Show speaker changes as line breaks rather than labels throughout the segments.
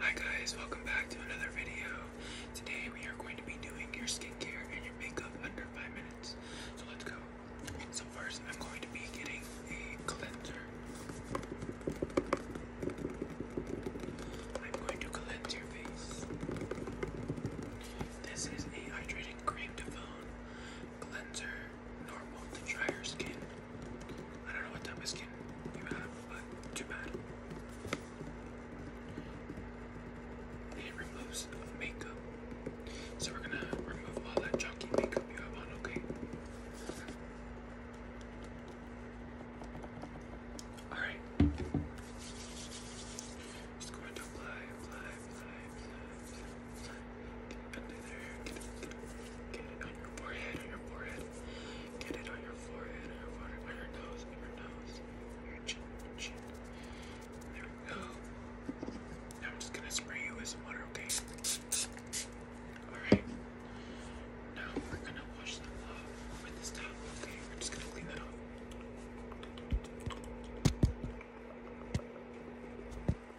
Hi guys, welcome back to another video. Today we are going to be doing your skincare and your makeup under five minutes. So let's go. So first I'm going to be getting a cleanser. I'm going to cleanse your face. This is a hydrating cream to foam cleanser normal to dry skin. I don't know what type of skin you have, but too bad. It removes makeup. So we're gonna remove all that chunky makeup you have on, okay? Alright. Just going to apply, apply, apply, apply, apply, under there, get it on your forehead, on your forehead. Get it on your forehead, on your forehead, on your nose, on your nose, on your chin, your chin. There we go. Now I'm just gonna spray you with some water, okay? Alright. Now we're gonna wash them off with this towel, okay? We're just gonna clean that off.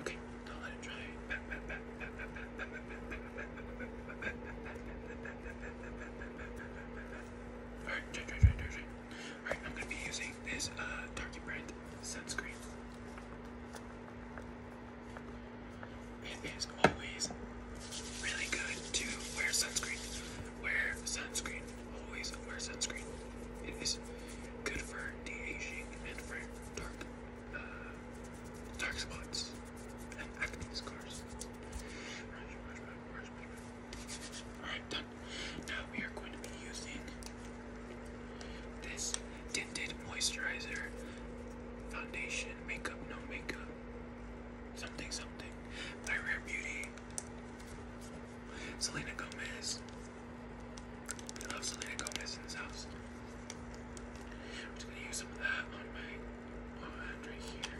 Okay, Alright, dry, dry, dry, dry, dry. Alright, I'm gonna be using this uh brand sunscreen. It is always really good to wear sunscreen. Wear sunscreen. Always wear sunscreen. It is good for de-aging and for dark, uh, dark spots and acne scars. Alright, done. Now we are going to be using this tinted moisturizer foundation makeup, no makeup, something, something by Rare Beauty. Selena Gomez I love Selena Gomez's house. I'm just gonna use some of that on my on my hand right here.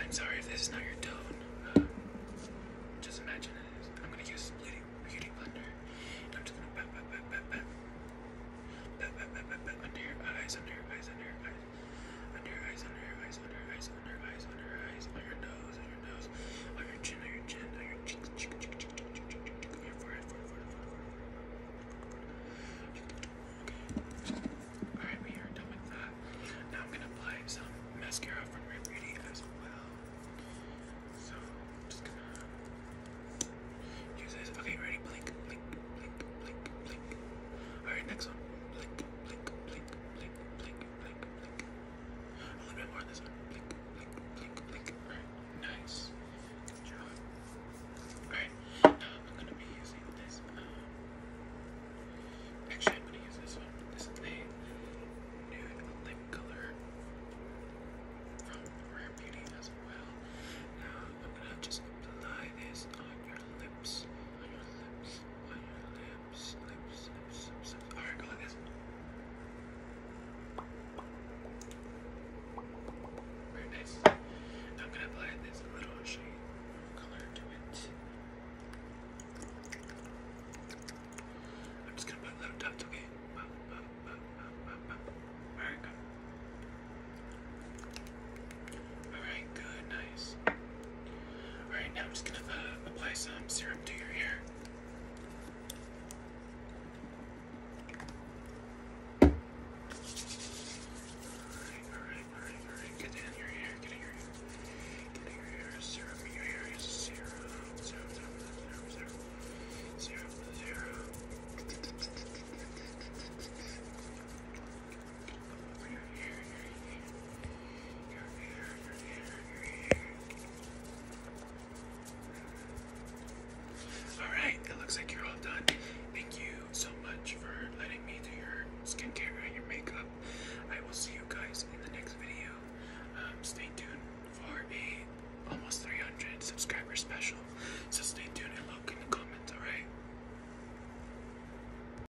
I'm sorry if this is not your tone. Uh, just imagine it is. I'm gonna use Beauty, beauty Blender. And I'm just gonna pat, pat, pat, pat, pat. Pat, pat, pat, pat, pat. Under your eyes, under your eyes, under your eyes. Under your eyes, under your eyes, under your eyes, on your eyes, on your eyes, on your nose, on your nose, on your chin, on your chin, on your cheeks, cheek, cheek, cheek, cheek, cheek, on your forehead, forehead, forehead, forehead, forehead, Okay. Alright, we are done with that. Now I'm gonna apply some mascara from Rare as well. So just gonna use this. Okay, ready? Blink, blink, blink, blink, blink. Alright, next one. Blink, blink, blink, blink, blink, a little bit more this one. nice. job. Alright, now I'm gonna be using this. actually, I'm gonna use this one. This is a nude lip color from Rare Beauty as well. Now I'm gonna just apply this on your lips. On your lips. On your lips. Very nice. I'm gonna apply this little shade of color to it. I'm just gonna put little dots, okay? All right, good, nice. Alright, now I'm just gonna uh, apply some serum to your hair. Alright, alright, alright, alright. in your hair, get your hair. Get your hair, serum in your hair is serum. Serum, serum, serum, serum. All right, it looks like you're all done. Thank you so much for letting me do your skincare and your makeup. I will see you guys in the next video. Um, stay tuned for a almost 300 subscriber special. So stay tuned and look in the comments. All right.